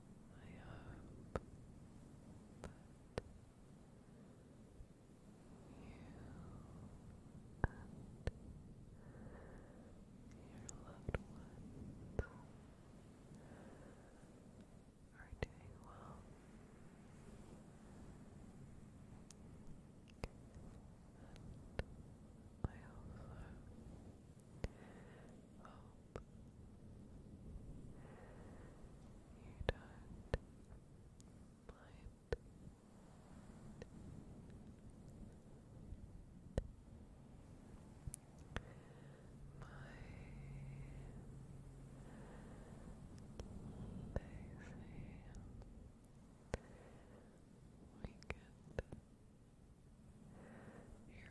I hope that you and your loved ones are doing well. And I also hope you don't mind. My Daisy, we get Here's the today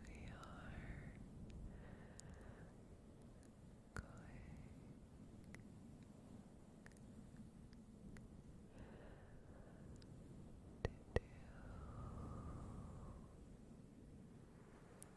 we are going to do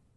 I you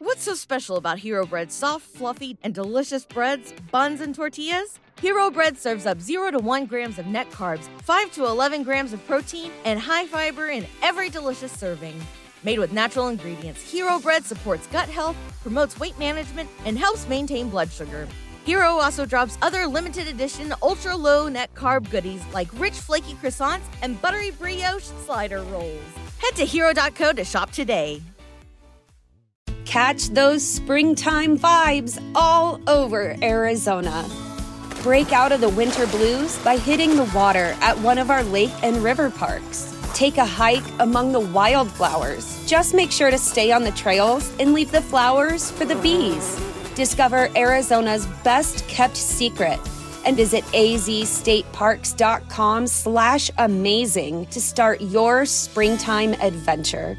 What's so special about Hero Bread's soft, fluffy, and delicious breads, buns, and tortillas? Hero Bread serves up 0 to 1 grams of net carbs, 5 to 11 grams of protein, and high fiber in every delicious serving. Made with natural ingredients, Hero Bread supports gut health, promotes weight management, and helps maintain blood sugar. Hero also drops other limited edition ultra low net carb goodies like rich flaky croissants and buttery brioche slider rolls. Head to hero.co to shop today. Catch those springtime vibes all over Arizona. Break out of the winter blues by hitting the water at one of our lake and river parks. Take a hike among the wildflowers. Just make sure to stay on the trails and leave the flowers for the bees. Discover Arizona's best kept secret and visit azstateparks.com slash amazing to start your springtime adventure.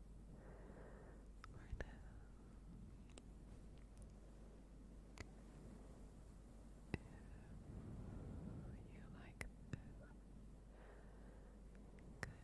or no? you like good Slow. Slow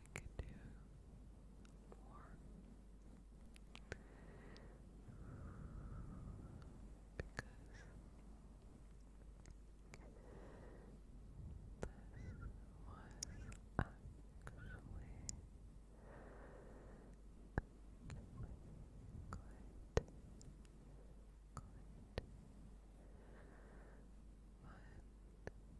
we could do more because this was actually quite quite but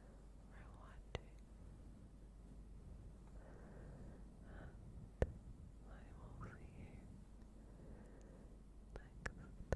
for watching. And I will see you next, next time. good night.